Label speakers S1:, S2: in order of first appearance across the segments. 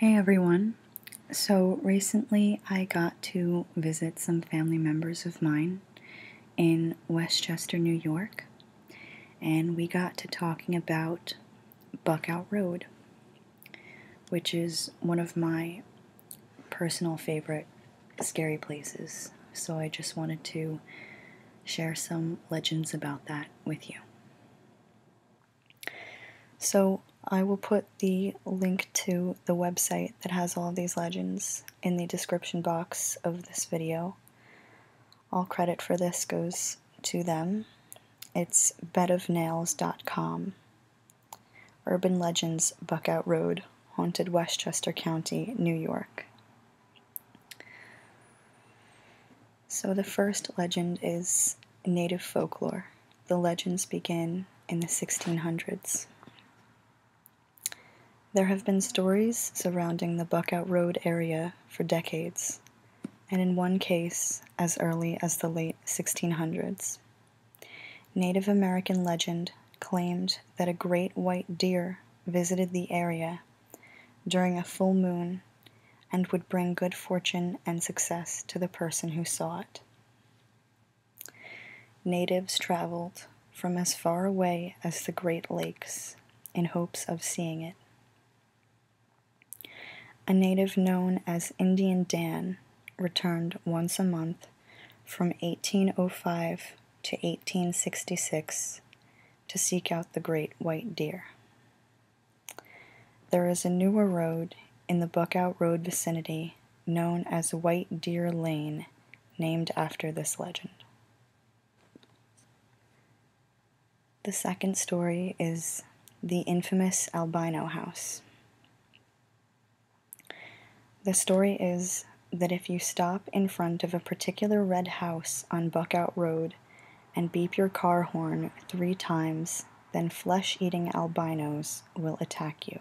S1: Hey everyone. So recently I got to visit some family members of mine in Westchester, New York, and we got to talking about Buckout Road, which is one of my personal favorite scary places. So I just wanted to share some legends about that with you. So I will put the link to the website that has all these legends in the description box of this video. All credit for this goes to them. It's bedofnails.com. Urban Legends, Buckout Road, Haunted Westchester County, New York. So the first legend is native folklore. The legends begin in the 1600s. There have been stories surrounding the Buckout Road area for decades, and in one case as early as the late 1600s. Native American legend claimed that a great white deer visited the area during a full moon and would bring good fortune and success to the person who saw it. Natives traveled from as far away as the Great Lakes in hopes of seeing it. A native known as Indian Dan returned once a month from 1805 to 1866 to seek out the great white deer. There is a newer road in the Buckout Road vicinity known as White Deer Lane, named after this legend. The second story is the infamous Albino House. The story is that if you stop in front of a particular red house on Buckout Road, and beep your car horn three times, then flesh eating albinos will attack you.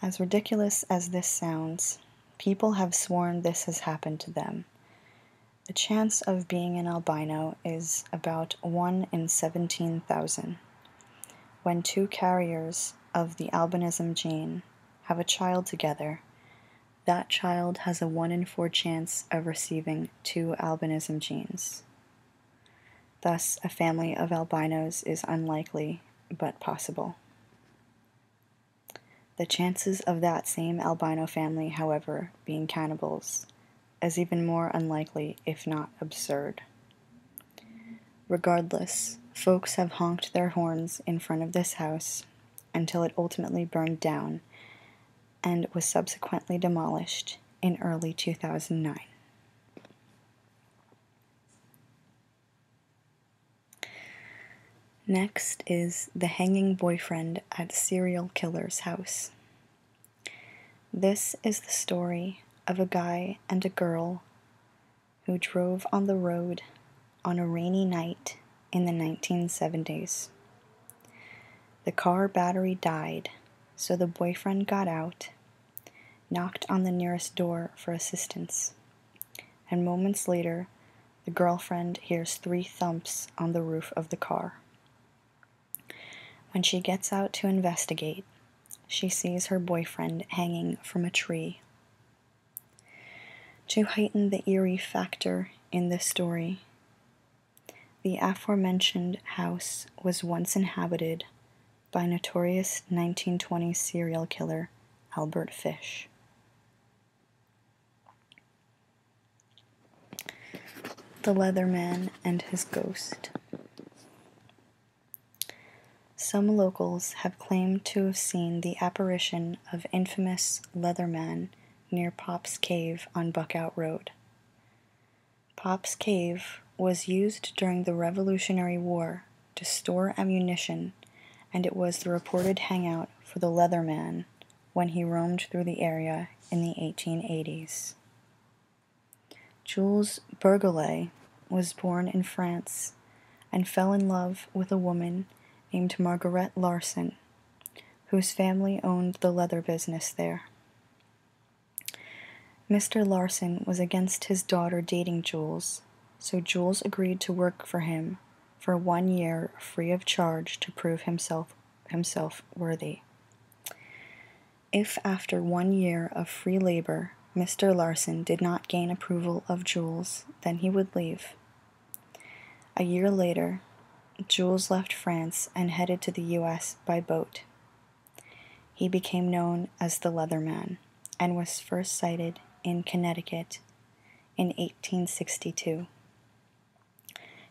S1: As ridiculous as this sounds, people have sworn this has happened to them. The chance of being an albino is about 1 in 17,000. When two carriers of the albinism gene have a child together, that child has a 1 in 4 chance of receiving two albinism genes. Thus, a family of albinos is unlikely but possible. The chances of that same albino family, however, being cannibals is even more unlikely, if not absurd. Regardless, folks have honked their horns in front of this house until it ultimately burned down and was subsequently demolished in early 2009. Next is The Hanging Boyfriend at Serial Killer's House. This is the story of a guy and a girl who drove on the road on a rainy night in the 1970s. The car battery died, so the boyfriend got out, knocked on the nearest door for assistance, and moments later, the girlfriend hears three thumps on the roof of the car. When she gets out to investigate, she sees her boyfriend hanging from a tree. To heighten the eerie factor in this story, the aforementioned house was once inhabited by notorious 1920s serial killer Albert Fish. The Leatherman and His Ghost. Some locals have claimed to have seen the apparition of infamous Leatherman near Pop's Cave on Buckout Road. Pop's Cave was used during the Revolutionary War to store ammunition, and it was the reported hangout for the Leatherman when he roamed through the area in the 1880s. Jules Bergolet was born in France and fell in love with a woman named Margaret Larson whose family owned the leather business there. Mr. Larson was against his daughter dating Jules, so Jules agreed to work for him for one year free of charge to prove himself himself worthy. If after one year of free labor Mr. Larson did not gain approval of Jules, then he would leave a year later, Jules left France and headed to the US by boat. He became known as the Leatherman and was first sighted in Connecticut in 1862.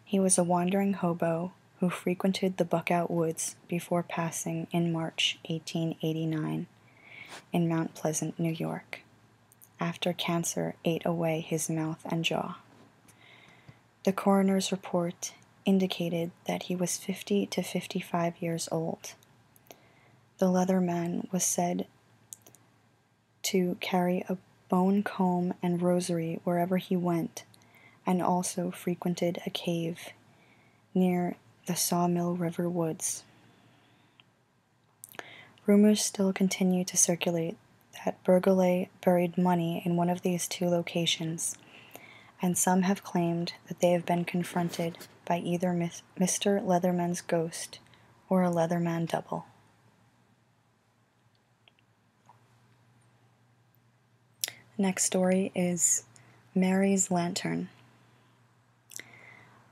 S1: He was a wandering hobo who frequented the Buckout Woods before passing in March 1889 in Mount Pleasant, New York after cancer ate away his mouth and jaw. The coroner's report indicated that he was 50 to 55 years old. The Leatherman was said to carry a bone comb and rosary wherever he went, and also frequented a cave near the Sawmill River Woods. Rumors still continue to circulate that Burghley buried money in one of these two locations, and some have claimed that they have been confronted by either Mr. Leatherman's ghost or a Leatherman double. The next story is Mary's Lantern.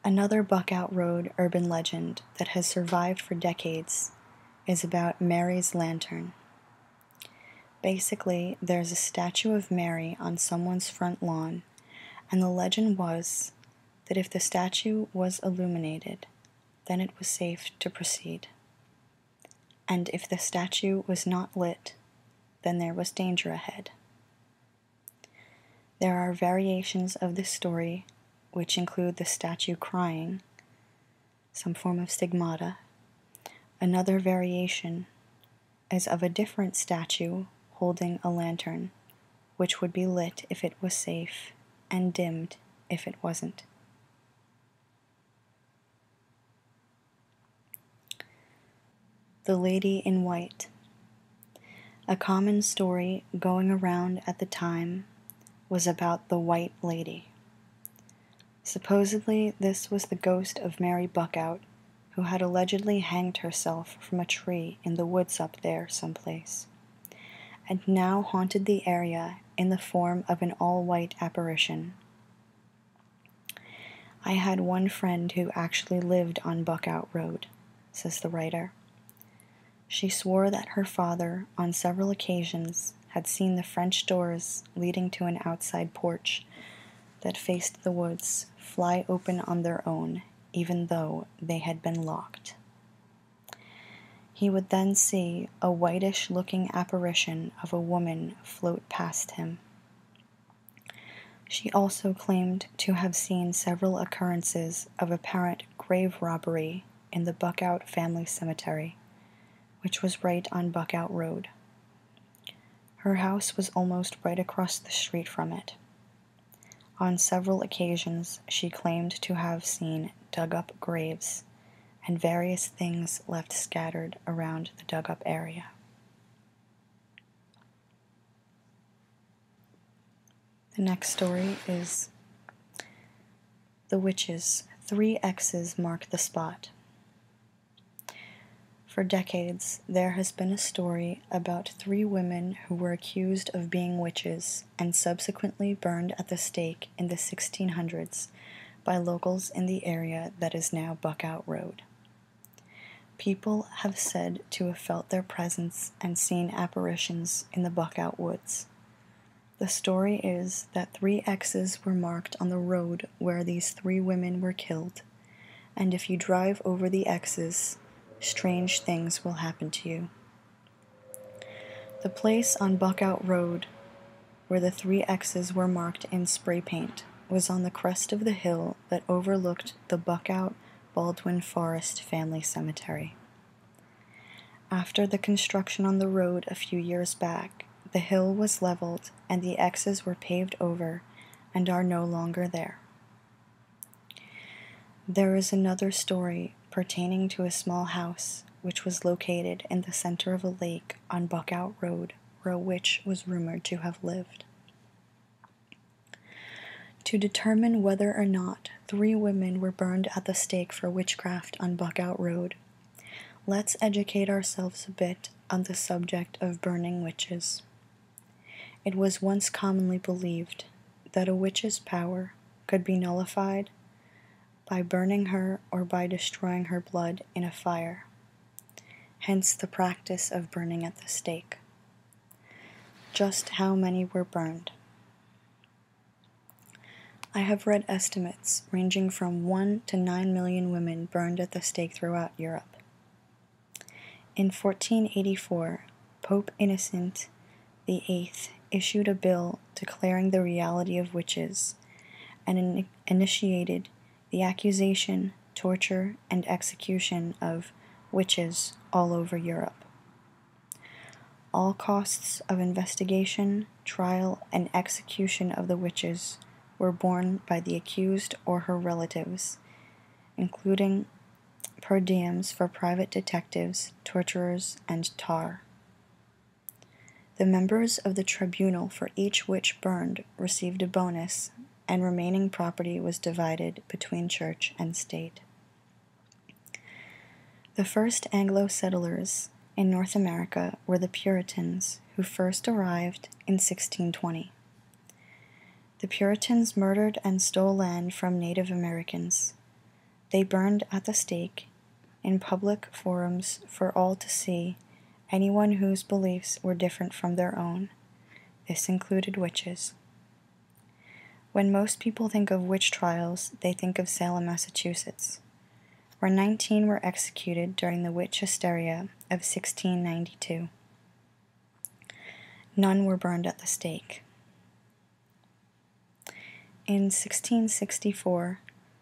S1: Another Buckout Road urban legend that has survived for decades is about Mary's lantern. Basically, there's a statue of Mary on someone's front lawn, and the legend was that if the statue was illuminated, then it was safe to proceed. And if the statue was not lit, then there was danger ahead. There are variations of this story which include the statue crying, some form of stigmata. Another variation is of a different statue holding a lantern, which would be lit if it was safe and dimmed if it wasn't. The Lady in White a common story going around at the time was about the White Lady. Supposedly, this was the ghost of Mary Buckout, who had allegedly hanged herself from a tree in the woods up there someplace, and now haunted the area in the form of an all white apparition. I had one friend who actually lived on Buckout Road, says the writer. She swore that her father, on several occasions, had seen the French doors leading to an outside porch that faced the woods fly open on their own, even though they had been locked. He would then see a whitish looking apparition of a woman float past him. She also claimed to have seen several occurrences of apparent grave robbery in the Buckout Family Cemetery, which was right on Buckout Road. Her house was almost right across the street from it. On several occasions, she claimed to have seen dug up graves and various things left scattered around the dug up area. The next story is The Witches. Three X's mark the spot. For decades, there has been a story about three women who were accused of being witches and subsequently burned at the stake in the 1600s by locals in the area that is now Buckout Road. People have said to have felt their presence and seen apparitions in the Buckout Woods. The story is that three X's were marked on the road where these three women were killed, and if you drive over the X's, strange things will happen to you. The place on Buckout Road where the three X's were marked in spray paint was on the crest of the hill that overlooked the Buckout Baldwin Forest Family Cemetery. After the construction on the road a few years back, the hill was leveled and the X's were paved over and are no longer there. There is another story pertaining to a small house which was located in the center of a lake on Buckout Road where a witch was rumored to have lived to determine whether or not three women were burned at the stake for witchcraft on Buckout Road. Let's educate ourselves a bit on the subject of burning witches. It was once commonly believed that a witch's power could be nullified by burning her or by destroying her blood in a fire, hence the practice of burning at the stake. Just how many were burned? I have read estimates ranging from 1 to 9 million women burned at the stake throughout Europe. In 1484, Pope Innocent VIII issued a bill declaring the reality of witches and initiated the accusation, torture, and execution of witches all over Europe. All costs of investigation, trial, and execution of the witches were borne by the accused or her relatives, including per diems for private detectives, torturers, and tar. The members of the tribunal for each witch burned received a bonus, and remaining property was divided between church and state. The first Anglo settlers in North America were the Puritans, who first arrived in 1620. The Puritans murdered and stole land from Native Americans. They burned at the stake in public forums for all to see anyone whose beliefs were different from their own. This included witches. When most people think of witch trials, they think of Salem, Massachusetts, where 19 were executed during the witch hysteria of 1692. None were burned at the stake. In 1664,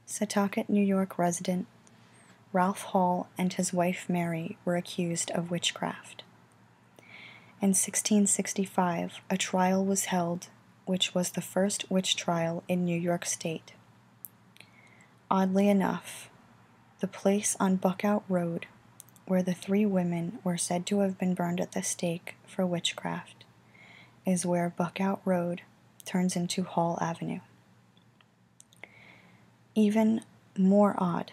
S1: Setauket, New York resident Ralph Hall and his wife Mary were accused of witchcraft. In 1665, a trial was held, which was the first witch trial in New York State. Oddly enough, the place on Buckout Road, where the three women were said to have been burned at the stake for witchcraft, is where Buckout Road turns into Hall Avenue. Even more odd,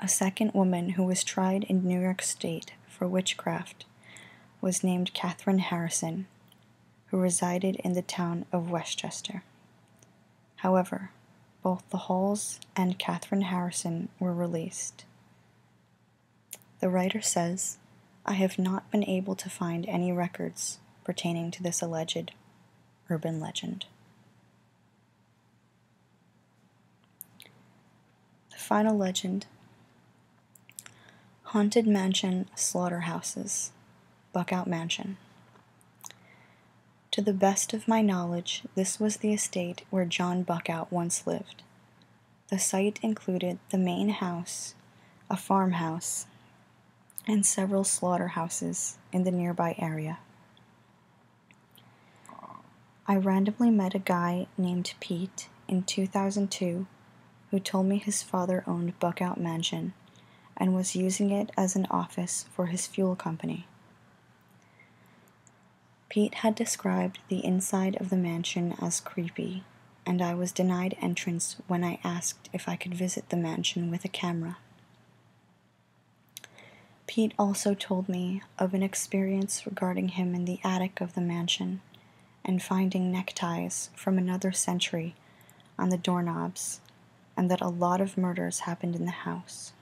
S1: a second woman who was tried in New York State for witchcraft was named Catherine Harrison, who resided in the town of Westchester. However, both the Halls and Catherine Harrison were released. The writer says, I have not been able to find any records pertaining to this alleged urban legend. The final legend Haunted Mansion Slaughterhouses, Buckout Mansion. To the best of my knowledge, this was the estate where John Buckout once lived. The site included the main house, a farmhouse, and several slaughterhouses in the nearby area. I randomly met a guy named Pete in 2002 who told me his father owned Buckout Mansion and was using it as an office for his fuel company. Pete had described the inside of the mansion as creepy, and I was denied entrance when I asked if I could visit the mansion with a camera. Pete also told me of an experience regarding him in the attic of the mansion and finding neckties from another century on the doorknobs, and that a lot of murders happened in the house.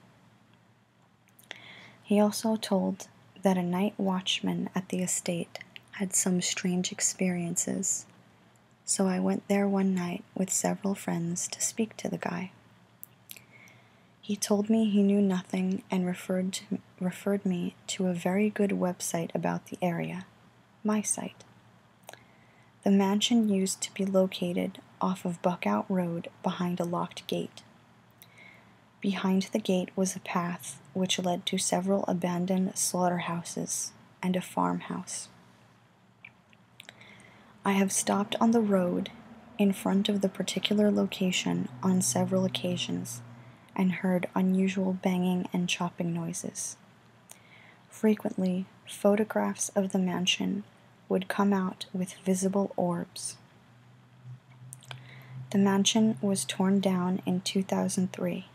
S1: He also told that a night watchman at the estate had some strange experiences, so I went there one night with several friends to speak to the guy. He told me he knew nothing and referred, referred me to a very good website about the area, my site. The mansion used to be located off of Buckout Road behind a locked gate. Behind the gate was a path which led to several abandoned slaughterhouses and a farmhouse. I have stopped on the road in front of the particular location on several occasions and heard unusual banging and chopping noises. Frequently, photographs of the mansion would come out with visible orbs. The mansion was torn down in 2003.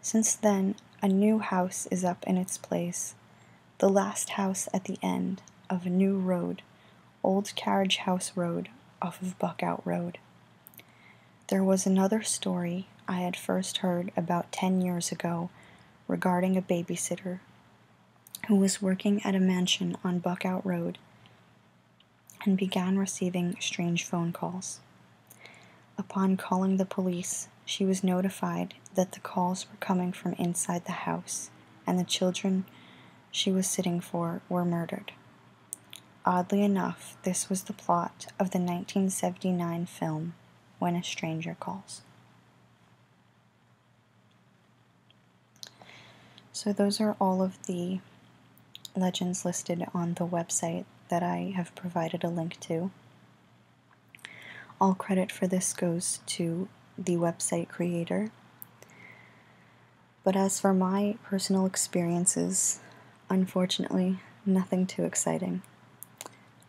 S1: Since then, a new house is up in its place, the last house at the end of a new road Old Carriage House Road off of Buckout Road. There was another story I had first heard about 10 years ago regarding a babysitter who was working at a mansion on Buckout Road and began receiving strange phone calls. Upon calling the police, she was notified that the calls were coming from inside the house and the children she was sitting for were murdered. Oddly enough, this was the plot of the 1979 film When a Stranger Calls. So, those are all of the legends listed on the website that I have provided a link to. All credit for this goes to the website creator, but as for my personal experiences, unfortunately, nothing too exciting.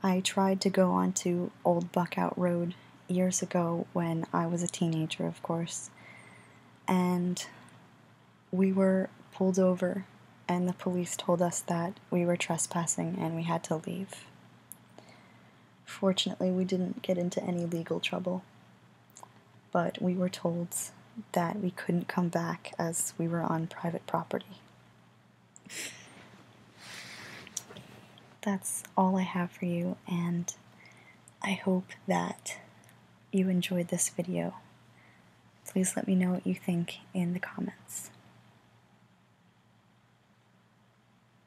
S1: I tried to go onto Old Buckout Road years ago when I was a teenager, of course, and we were pulled over, and the police told us that we were trespassing and we had to leave. Fortunately, we didn't get into any legal trouble, but we were told that we couldn't come back as we were on private property. That's all I have for you, and I hope that you enjoyed this video. Please let me know what you think in the comments.